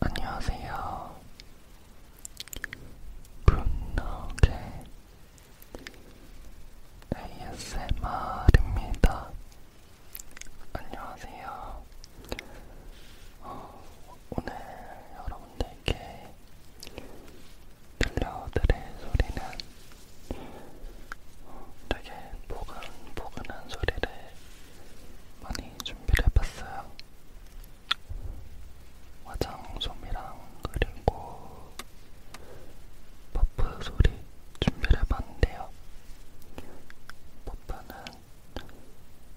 안녕하세요. 굿노게 ASMR입니다. 안녕하세요. 어, 오늘 여러분들께 들려드릴 소리는 어, 되게 보근보근한 소리를 많이 준비를 해봤어요. 화장솜이랑 그리고 퍼프 소리 준비를 해봤는데요. 버프는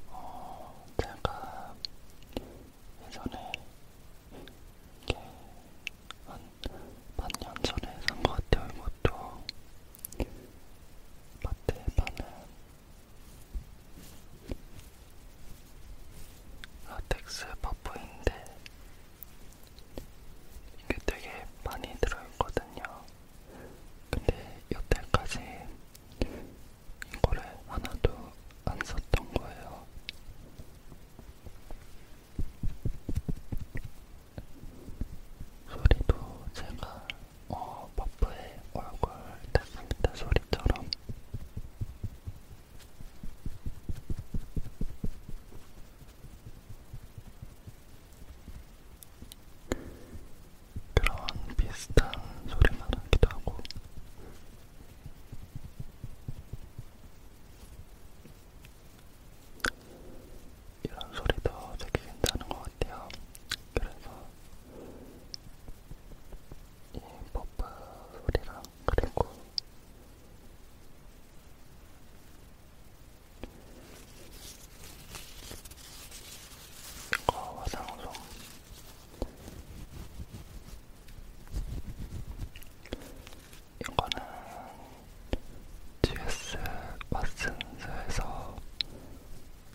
어, 제가 예전에 이렇게 한 반년 전에 산것 같아요. 이것도 마트에 파는 라텍스 버프인데 이게 되게 많이 들어있거든요. 근데 여태까지 이거를 하나도 안 썼던 거예요. 소리도 제가 어, 버프에 얼굴 탔습니다 소리처럼. 그런 비슷한 소리가 나기도 하고 이런 소리도 되게 괜찮은 것 같아요. 그래서 이 버프 소리랑 그리고 이거 어, 화장솜 이거는 GS 마슨스에서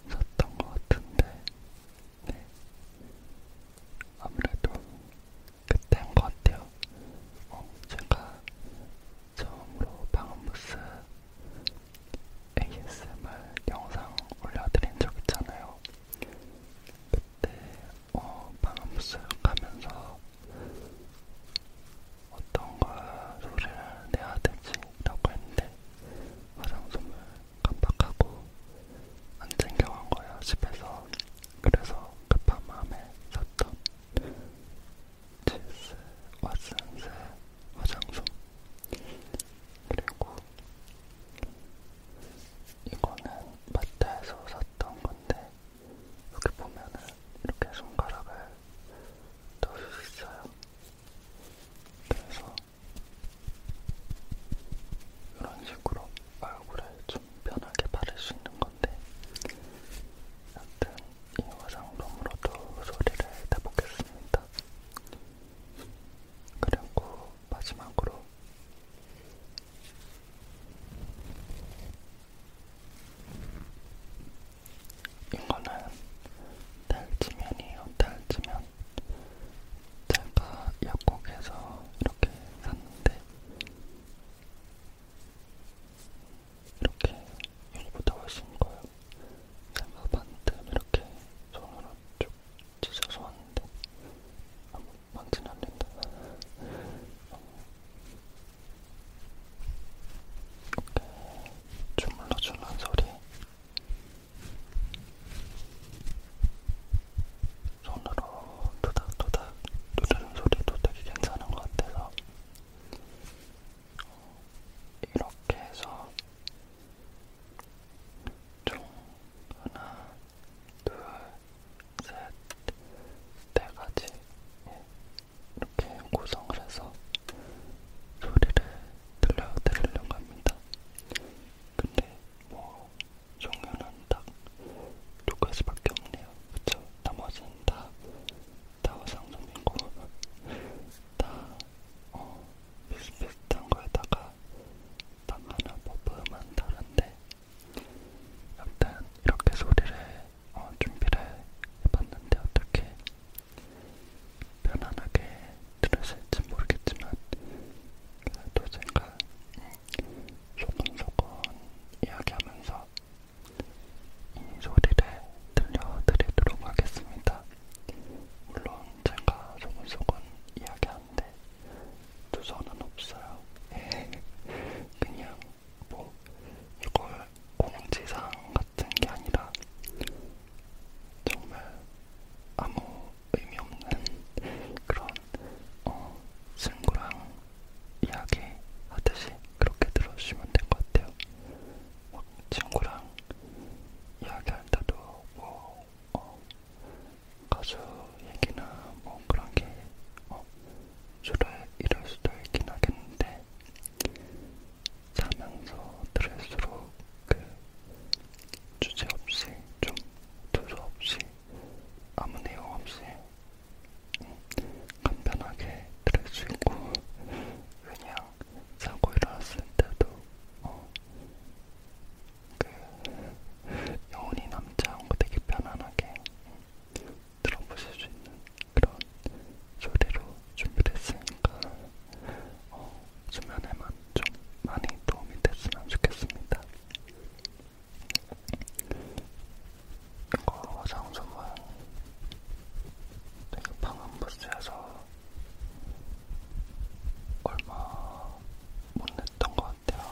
샀던 것 같은데 네. 아무래도 그때 한것 같아요. 어, 제가 처음으로 방음부스 ASMR 영상 올려드린 적 있잖아요. 그때 어, 방음부스 가면서 어떤 걸 소리를 내야 되지라고 했는데 화장솜을 깜빡하고 안 챙겨간 거예요 집에서 그래서 급한 마음에 샀던 치스 왓슨스 화장솜 그리고 이거는 마트에서 샀던 건데 여기 보면은 이렇게 손가락을 넣을 수 있어요. 그래서 이런 식으로 얼굴에 좀 편하게 바를 수 있는 건데 여튼 이 화장품으로도 소리를 내보겠습니다. 그리고 마지막으로 이거는 달지면이에요. 달지면 제가 약국에서 이렇게 샀는데 이렇게 여기보다 훨씬 커요. 제가 반틈 이렇게 손으로 쭉 찢어서 왔는데 아무 많지는 않는다. 이렇게 주물러주는 소리 손으로 도닥도닥 누르는 소리도 되게 괜찮은 것 같아서 이렇게 해서 총 하나, 둘, 셋, 네 가지 이렇게 구성을 해서 소리를 들려드리려고 합니다. 근데 뭐 종류는 딱 두 가지밖에 없네요. 그쵸? 나머지는 다, 다 화상성이고, 다, 어, 비슷비슷한 거에다가, 딱 하나 뽑으면 다른데, 여튼, 이렇게 소리를, 어, 준비를 해봤는데, 어떻게, 편안하게 들으실지 모르겠지만, 그래도 제가, 음, 소근소근 이야기하면서 이 소리를 들려드리도록 하겠습니다. 물론 제가 조금조금 이야기하는데 두서는 없어요. 예. 그냥 뭐 이걸 공지사항 같은 게 아니라 정말 아무 의미 없는 그런 어 친구랑 이야기하듯이 그렇게 들어주시면 될 것 같아요. 막 친구랑 이야기할 때도 뭐 어, 가수 얘기나 뭐 그런 게 어, 주로 이럴 수도 있긴 하겠는데 자면서 들을수록 그 주제 없이 좀 두서 없이 아무 내용 없이 간편하게 들을 수 있고 그냥 자고 일어났을 때도 어, 그 영혼이 남자하고 되게 편안하게 들어보실 수 있는 그런 소리로 준비됐으니까 어, 수면에만 좀 많이 도움이 됐으면 좋겠습니다. 이거 장소만 되게 방음부스에서 얼마 못 냈던 것 같아요.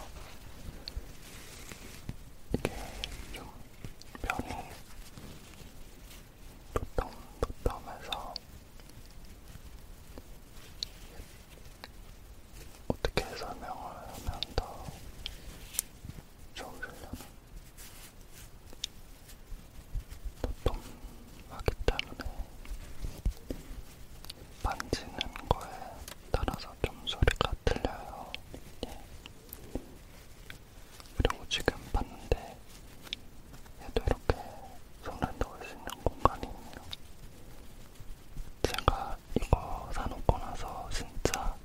이게 좀 면이 도톰도톰해서 어떻게 설명을 하면 더 좋으려면 도톰하기 때문에 만지는 거에 따라서 좀 소리가 들려요. 예. 그리고 지금 봤는데 얘도 이렇게 손을 넣을 수 있는 공간이 있네요. 제가 이거 사놓고 나서 진짜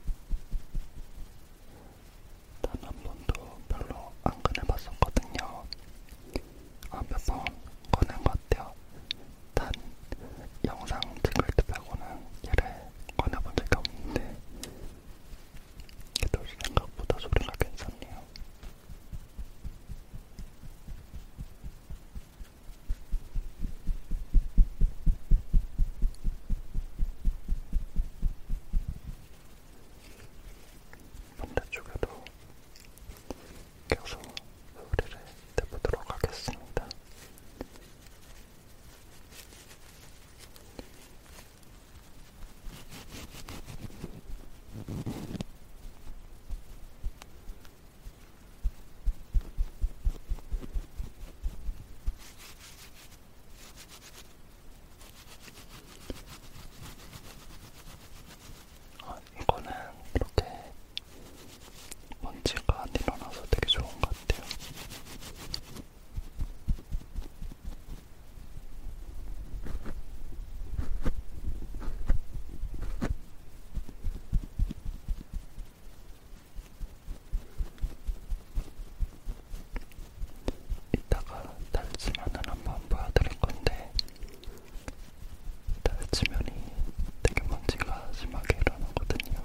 단한 번도 별로 안 꺼내봤었거든요. 아, 몇번 꺼낸 것 같아요. 단 영상 찍을 때 빼고는 얘를 꺼내본 적이 없는데 얘도 생각보다 소리가 괜찮네요. 반대쪽에도 계속 소리를 내보도록 하겠습니다. 아, 이거는 이렇게 먼지가 안 일어나서 되게 좋은 것 같아요. 이따가 달치면을 한번 보여드릴 건데 달치면이 되게 먼지가 심하게 일어나거든요.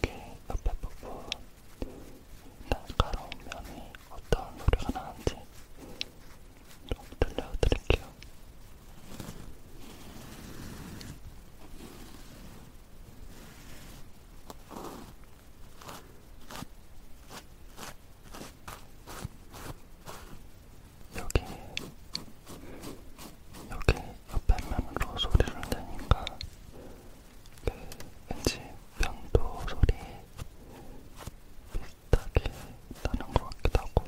이렇게 옆에 부분 날카로운 면이 어떤 소리가 나는지 좀 들려드릴게요. 여기 여기 옆에만으로 소리를 내니까 그 왠지 편도 소리 비슷하게 나는 것 같기도 하고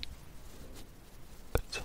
그쵸?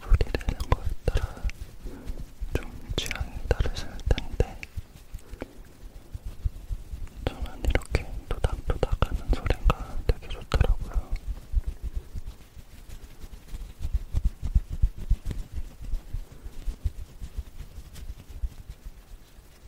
소리 내는 거에 따라 좀 취향이 다르실 텐데 저는 이렇게 도닥도닥하는 소리가 되게 좋더라고요.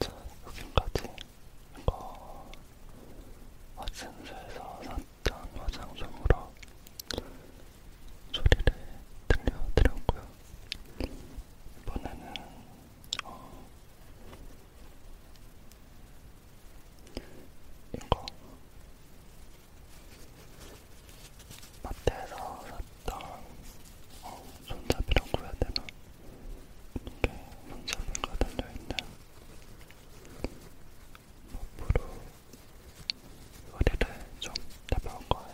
자, 여기까지 이거 왓슨스에서 아, 산 있던 화장솜으로 소리를 들려드렸고요. 이번에는 어 이거 마트에서 샀던 어, 손잡이라고 해야 되나? 이렇게 손잡이가 달려있는 몸으로 허리를 좀 잡아올 거예요.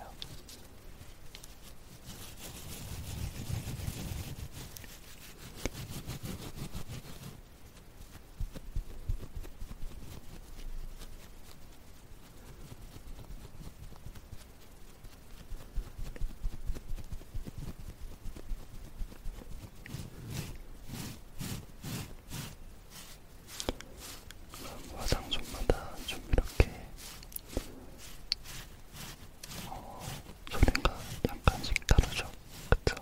화장솜마다 좀 이렇게 어, 소리가 약간씩 다르죠? 그쵸?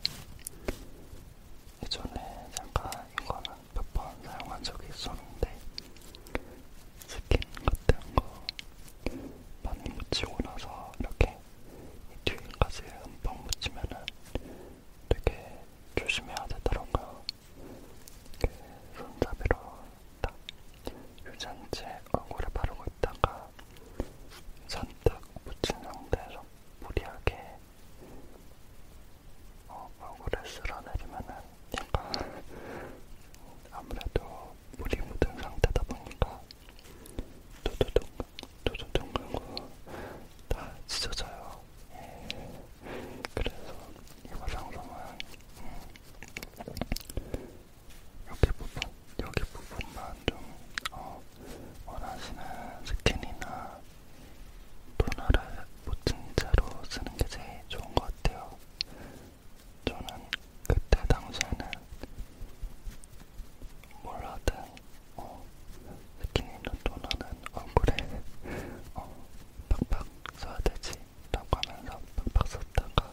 예전에 잠깐 이거는 몇 번 사용한 적이 있었는데 스킨 같은 거 많이 묻히고 나서 이렇게 뒤까지 흠뻑 묻히면은 되게 조심해야 되더라고요. 그 손잡이로 딱 유전체 얼굴에 바르고 있다가 잔뜩 묻힌 상태에서 무리하게 어, 얼굴에 쓸어내리면은 약간 아무래도 물이 묻은 상태다 보니까 도도동 도도동 그리고 다 찢어져요. 예. 그래서 이 화장솜은 음, 여기 부분, 여기 부분만 좀 어, 원하시는 스킨이나 토너를 묻힌 채로 쓰는 게 제일 좋은 것 같아요. 저는 그때 당시에는 몰라도 어, 스키니로 토너는 얼굴에 어, 팍팍 써야 되지 라고 하면서 팍팍 썼다가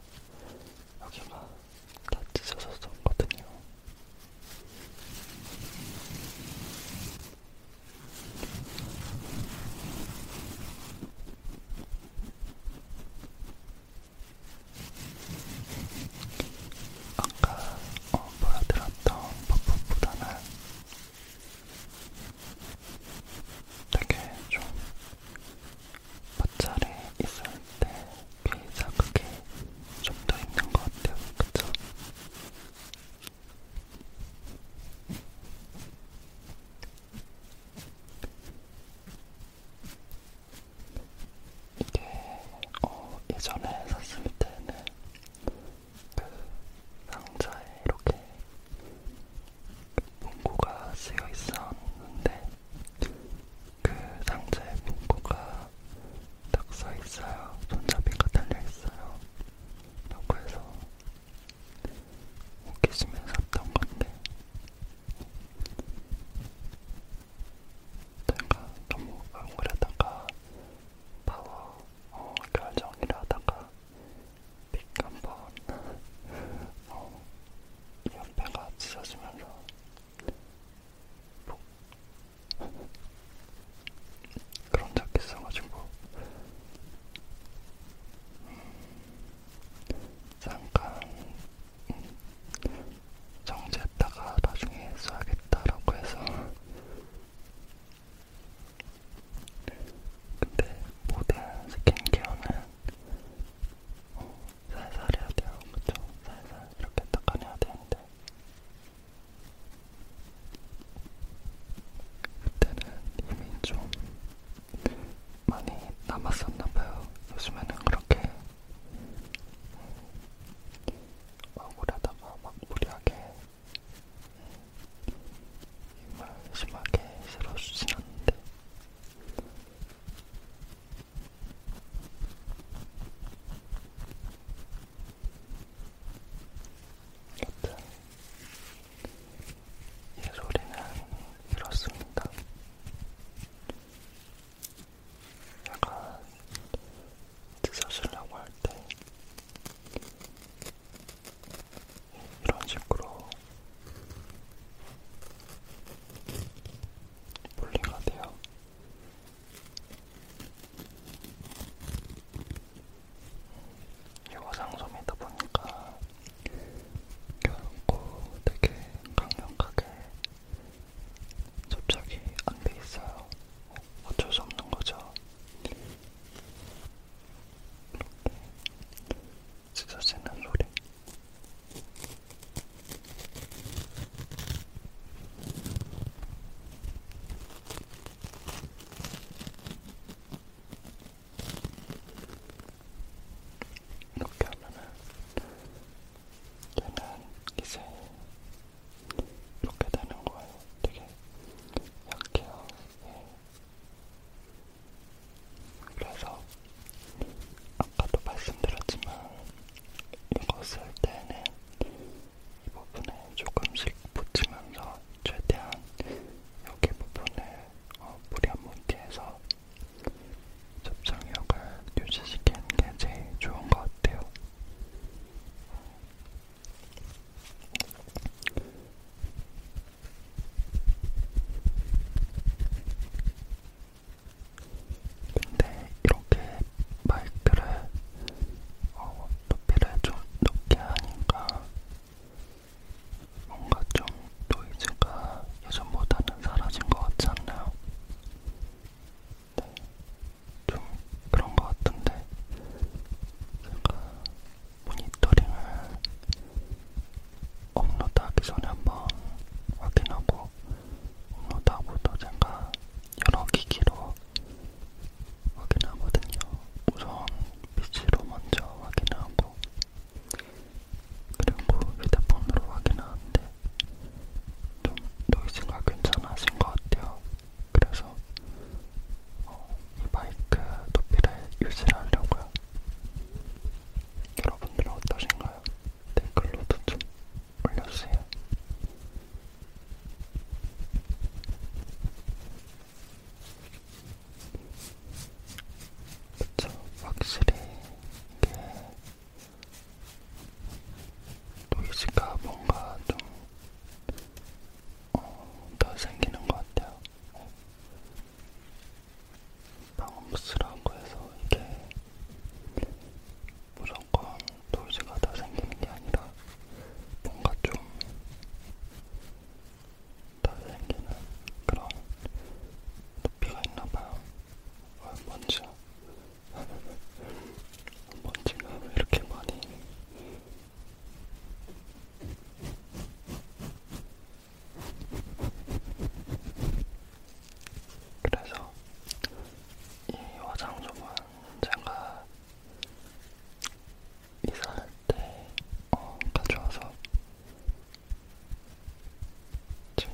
여기가 다 찢어졌었거든요. 음. 아까 어, 보여드렸던 퍼프보다는 되게 좀 마찰이 있을 때귀 자극이 좀 더 있는 것 같아요. 그쵸? 이게 어, 예전에 샀을 때는 그 상자에 이렇게 문구가 쓰여 있었는데 그 상자에 문구가 딱 써 있어요. 손잡이가 달려 있어요. 라고 해서 웃기시면 샀던 건데 내가 너무 얼굴에다가 파워 어, 결정이라 하다가 픽 한번 어, 옆에가 찢어지면서 뭐 그런 적이 있어가지고 음, 잠깐 음, 정지했다가 나중에 써야겠다라고 해서 근데 모델 스킨케어는 어, 살살 해야 돼요. 그쵸? 살살 이렇게 닦아내야 되는데 그때는 이미 좀 많이 남았었나봐요. 요즘에는 그렇게 억울하다가 막 무리하게 힘을 심하게 실어주진 않는데 여튼 예소리는 이렇습니다. 약간 드셔시려고 할 때 이런 식으로 분리가 돼요. 이 화장솜이다 보니까 결코 되게 강력하게 접착이 안 돼 있어요. 어쩔 수 없는 거죠. 이렇게 찢어지는 소리. 이렇게 하면은 얘는 이제 이렇게 되는 거예요. 되게 약해요. 예. 그래서 아까도 말씀드렸지만 이거 쓸 때는 이 부분에 조금씩 붙이면서 최대한 여기 부분을 어, 물이 한번 뒤에서 접착력을 유지시키는 게 제일 좋은 것 같아요. 근데 이렇게 마이크를 어, 높이를 좀 높게 하니까 뭔가 좀 노이즈가 예전보다는 사라진 것 같지 않나요? 네, 좀 그런 것 같은데 제가 모니터링을 업로드하기 전에 한번 확인하고 업로드하고도 제가 여러 기기로 확인하거든요. 우선 PC로 먼저 확인하고 그리고 휴대폰으로 확인하는데 좀 노이즈가 괜찮아진 것 같아요. 그래서 어, 이 마이크 높이를 유지를 하려고요. 여러분들은 어떠신가요? 댓글로도 좀 올려주세요. 그쵸, 확실히 이게 보이스가 뭔가 좀더 어, 생기는 것 같아요. 방음부스라고 해서 이게 무조건 노이즈가 다 생기는 게 아니라 뭔가 좀다 생기는 그런 높이가 있나봐요. 어, 뭔지 먼지가 왜 이렇게 많이 그래서 이 화장솜은 제가 이사할 때 어, 가져와서 지금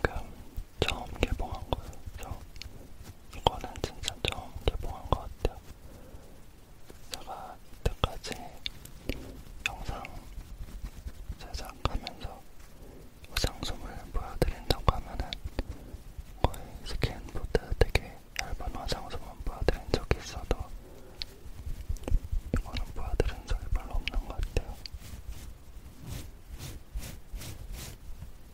처음 개봉한 거여서 이거는 진짜 처음 개봉한 것 같아요. 제가 이때까지 영상 제작하면서 화장솜을 보여드린다고 하면은 거의 스킨보드 되게 얇은 화장솜은 보여드린 적이 있어도 이거는 보여드린 적이 별로 없는 것 같아요.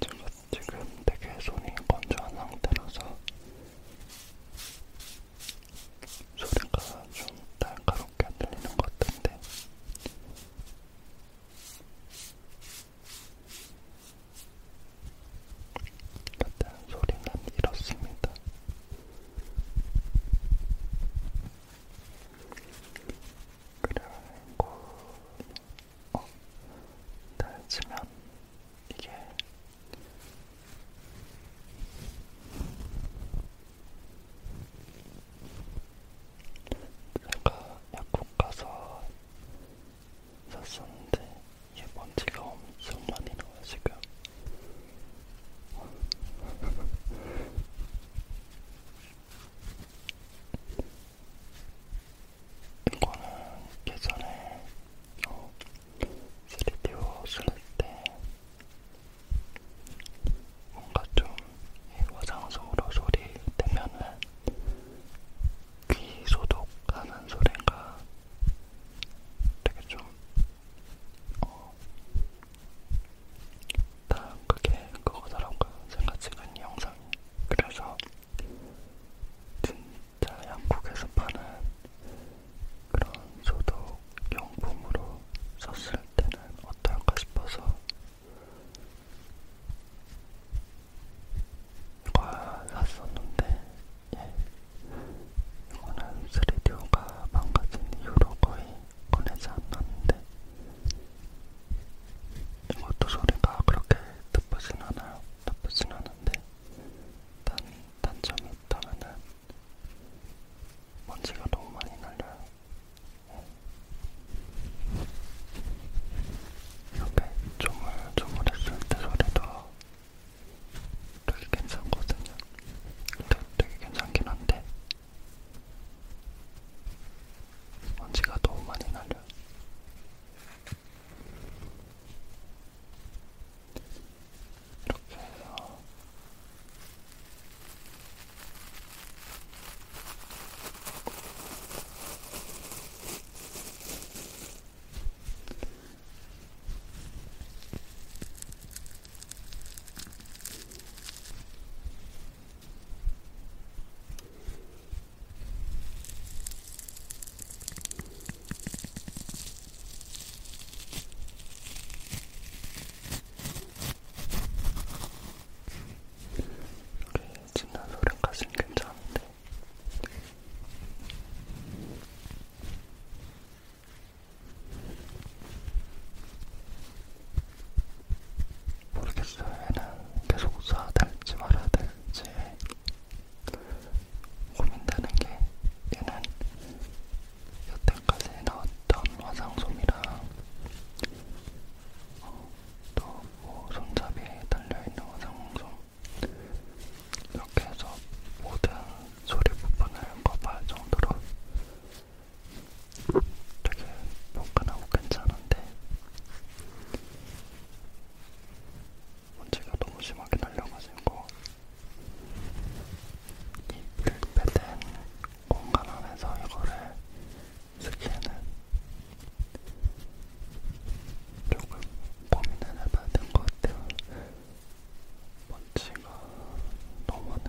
제가 지금 되게 손이 건조한 상태라서 소리가 좀 날카롭게 들리는 것 같은데 일단 소리는 잃었습니다. 그리고 어, 달지면 이게 제가 약국 가서 샀었는데 얘 먼지가 엄청 많이 나와 지금. 이거는 예전에 어, 3D 쓸때 뭔가 좀이 화장솜으로 소리 되면은 귀 소독하는 소리인가 되게 좀, 어, 다 그게 그거더라고요. 제가 찍은 이 영상이. 그래서, 진짜 양국에서 파는 그런 소독 용품으로 썼을 때는 어떨까 싶어서, 이거 샀었는데, 예. 이거는 3D오가 망가진 이후로 거의 꺼내지 않았는데 이것도 소리가 그렇게 나쁘진 않아요. 나쁘진 않은데 단, 단점이 있다면은 먼지가 너무 많이 날려요. 네. 이렇게 조물조물했을 때 소리도 되게 괜찮거든요. 되게, 되게 괜찮긴 한데 먼지가 너무 많이 날려요. 이렇게 해서 이렇게 짖는 소리까지는 괜찮은데 모르겠어요. 얘는 계속 써야 될지 말아야 될지 고민되는 게 얘는 여태까지 나왔던 화상솜이랑 어, 또뭐 손잡이에 달려있는 화상솜 이렇게 해서 모든 소리 부분을 커버할 정도로 되게 포근하고 괜찮은데 먼지가 너무 심하게 날려가지고 이 밀폐된 공간 안에서 이거를 쓰기에는 조금 고민을 해봐야 될것 같아요. 먼지가 너무 많아요.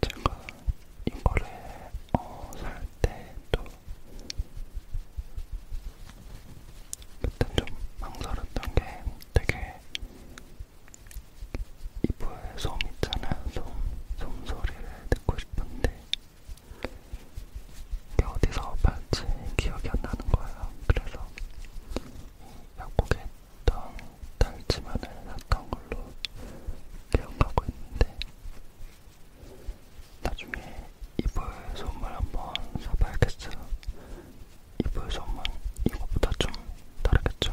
제가 이거를 어, 살 때도 그때 좀 망설였던 게 되게 이불 솜 있잖아요. 솜, 솜 소리를 듣고 싶은데 이게 어디서 봤지 기억이 안 나는 거예요. 그래서 약국에 있던 달지만을 샀던 걸로 기억하고 있는데 나중에 이불 선물 한번 사봐야겠어요. 이불 선물 이거보다 좀 다르겠죠?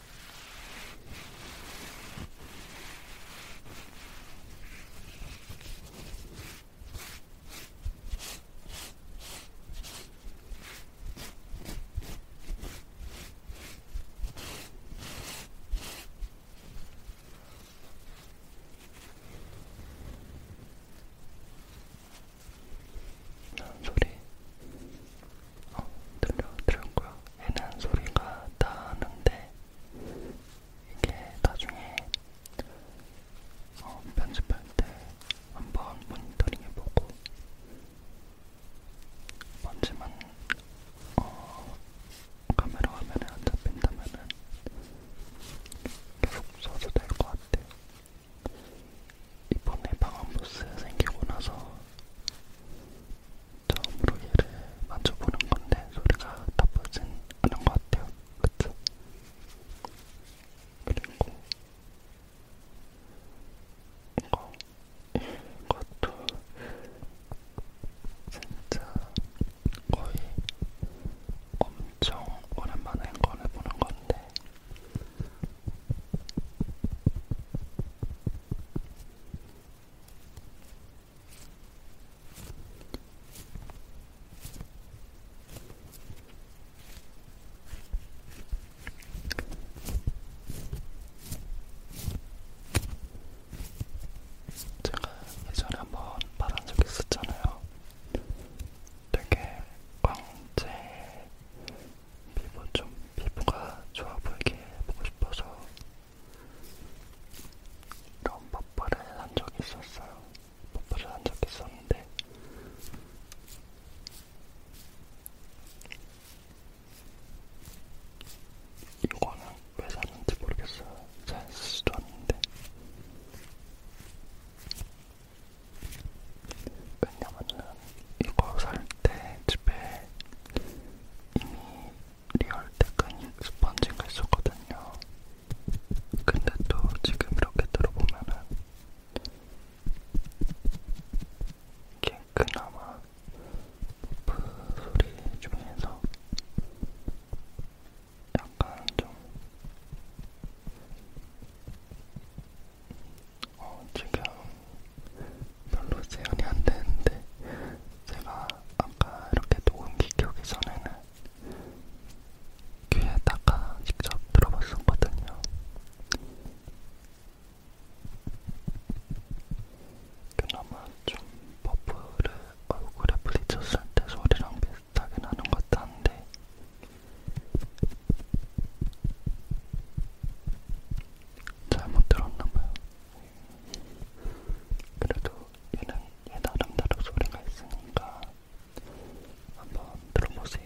아, 소리 어 들려 들은 거야? 해는 소리가 나는데 이게 나중에 어, 편집할 때 한번 모니터링 해보고 먼지만 어, 카메라 화면에 안 잡힌다면은 계속 써도 될 것 같아요. 이번에 방음부스 생기고 나서 처음으로 얘를 만져보는 건데 소리가 나쁘진 않은 것 같아요. 그쵸? 그리고 이거, 이것도 진짜 거의 엄청 오랜만에 꺼내보는 건데 제가 예전에 한번 받은 적이 있었잖아요. 되게 광채 피부 좀 피부가 좋아 보이게 보고 싶어서 이런 버퍼를 한 적이 있었어요. 버퍼를 한 적이 있었는데 이거는 왜 샀는지 모르겠어요. 잘 쓰지도 않는데 왜냐면은 이거 살 때 집에 이미 리얼 테크닉 스펀지가 있었거든요. 근데 또 지금 이렇게 들어보면은 이게 그나마 그 소리 중에서 약간 좀 어, 지금 별로 재현이 안 되는데 제가 아까 이렇게 녹음기 켜기 전에는 귀에다가 직접 들어봤었거든요. 그나마 좀 버프를 얼굴에 부딪혔을 때 소리랑 비슷하게 나는 것 같은데 잘못 들었나봐요. 그래도 얘는 얘 나름대로 소리가 있으니까 한번 들어보세요.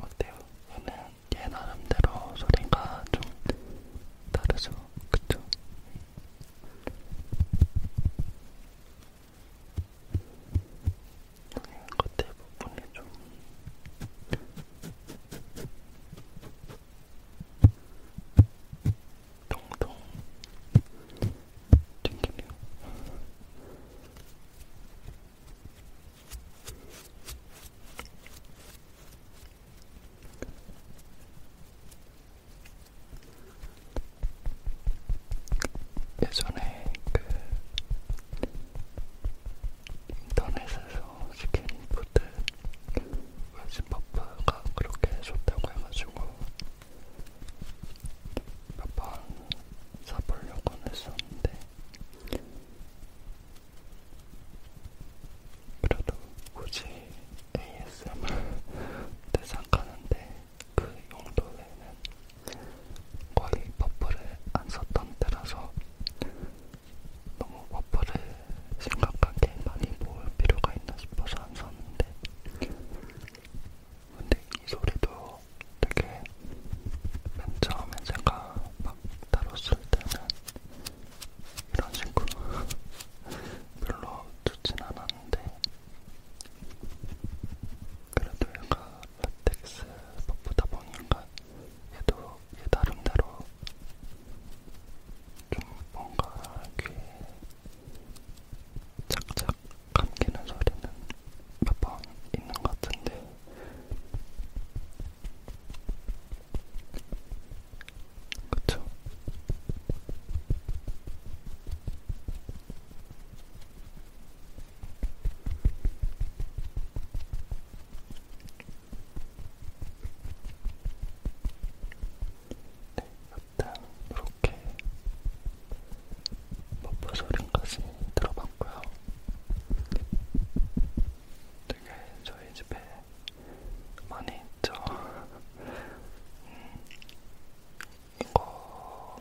어때요? 얘는 얘 나름대로 소리가 좀 다르죠? 그쵸? 네, 겉에 부분이 좀 통통 튕기네요. 예전에 그 인터넷에서 시킨 푸드 왠지 버프가 그렇게 좋다고 해가지고 몇 번 사보려고 했었는데 그래도 굳이 ASMR 대상 가는데 그 용도에는 거의 버프를 안 썼던 때라서 너무 버퍼를 심각하게 많이 모을 필요가 있나 싶어서 안 썼는데 근데 이 소리도 되게 맨 처음에 제가 막 다뤘을 때는 이런 식으로 별로 좋진 않았는데 그래도 얘가 라텍스 버프다 보니까 얘도 얘 나름대로 좀 뭔가 귀에 착착 감기는 소리는 몇번 있는 것 같은데 그쵸? 네, 일단 이렇게 버퍼 뭐 소리까지 들어봤고요. 되게 저희 집에 많이 있죠. 음, 이거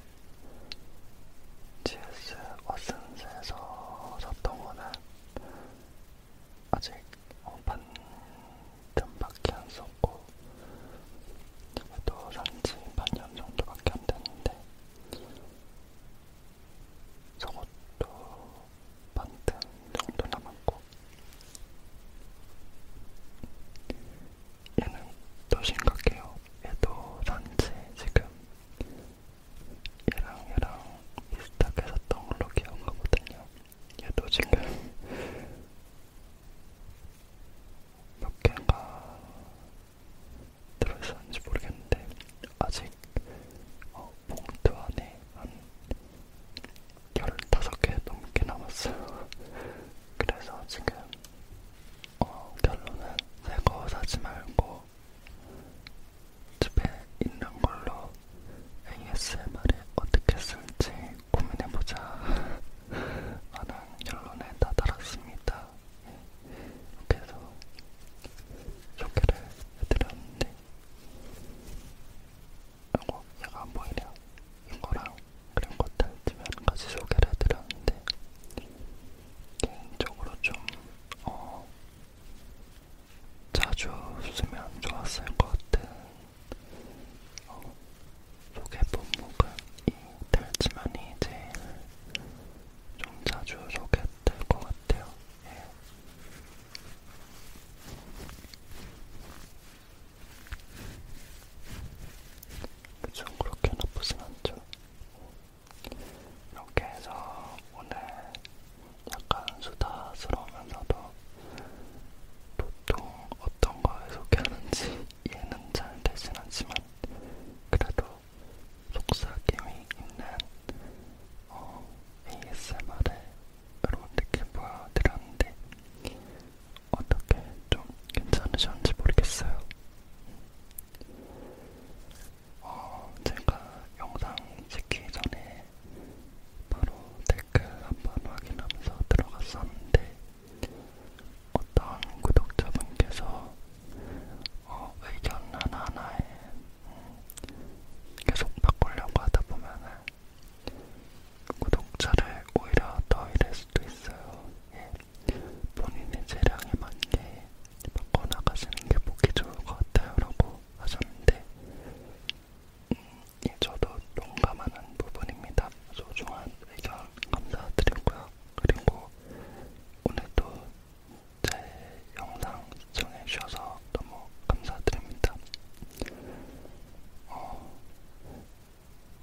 GS 어센스에서 샀던 거는 아직 어, 반년밖에 안 썼고 그래도 산지 반년 정도밖에 안 됐는데 저것도 반틈 정도 남았고 얘는 또 심각해요. 얘도 산지 지금 얘랑 얘랑 비슷하게 샀던 걸로 기억하거든요. 얘도 지금 몇 개가 들어있었는지 모르겠는데 아직 어, 봉투 안에 한 15개 넘게 남았어요. 그래서 지금 어, 결론은 새 거 사지 말고 집에 있는 걸로 ASMR에 어떻게 쓸지 고민해보자 라는 결론에 다다랐습니다. 그래서 소개를 해드렸는데 이거 어, 얘가 안 보이냐? 이거랑 그런 것들 주면 같이 소개를 해드렸는데 개인적으로 좀 어, 자주 쓰면 좋았을 것 같은 어, 속의 본목은 이 털지만이 제일 좀 자주 소개 될것 같아요. 예. 그쵸, 그렇게 나쁘진 않죠. 이렇게 해서 오늘 약간 수다스러우면서도 보통 어떤 걸 소개하는지 이해는 잘 되진 않지만 그래도 속삭임이 있는 어, ASMR을 여러분들께 보여드렸는데 어떻게 좀 괜찮으셨는지 모르겠어요. 어, 제가 영상 찍기 전에 바로 댓글 한 번 확인하면서 들어갔었는데 어떤 구독자분께서 어, 의견 하나하나에 음, 계속 바꾸려고 하다보면은 구독자를 오히려 더 잃을 수도 있어요. 예. 본인의 재량에 맞게 바꿔나가시는 게 보기 좋을 것 같아요. 라고 하셨는데 저도 동감하는 부분입니다. 소중한 의견 감사드리고요. 그리고 오늘도 제 영상 시청해주셔서 너무 감사드립니다. 어,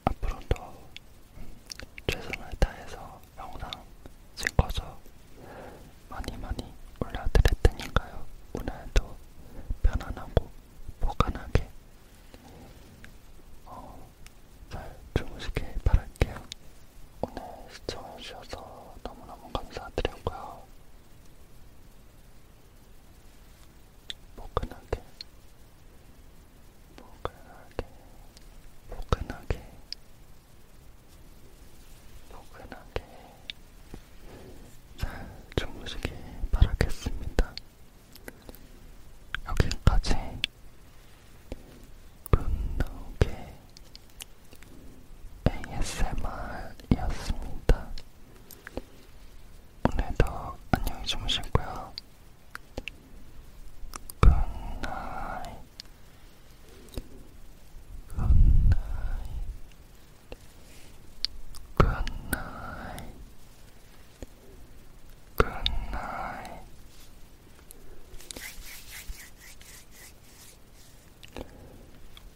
앞으로도 최선을 다해서 영상 찍어서 많이 많이 올려드릴 테니까요. 오늘도 편안하고 보관하게 어, 잘 주무시길 바랄게요. 오늘 시청해주셔서 너무너무 감사드리고요. 포근하게, 포근하게, 포근하게, 포근하게, 잘 주무시길 바라겠습니다. 여기까지 굿노게 ASMR이었습니다. 오늘도 안녕히 주무시고요. 굿나잇 굿나잇 Good night. Good night.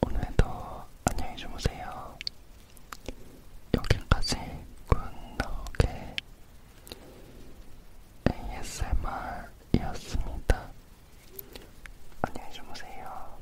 오늘도 안녕히 주무세요. 여기까지 굿나오게 ASMR이었습니다. 안녕히 주무세요.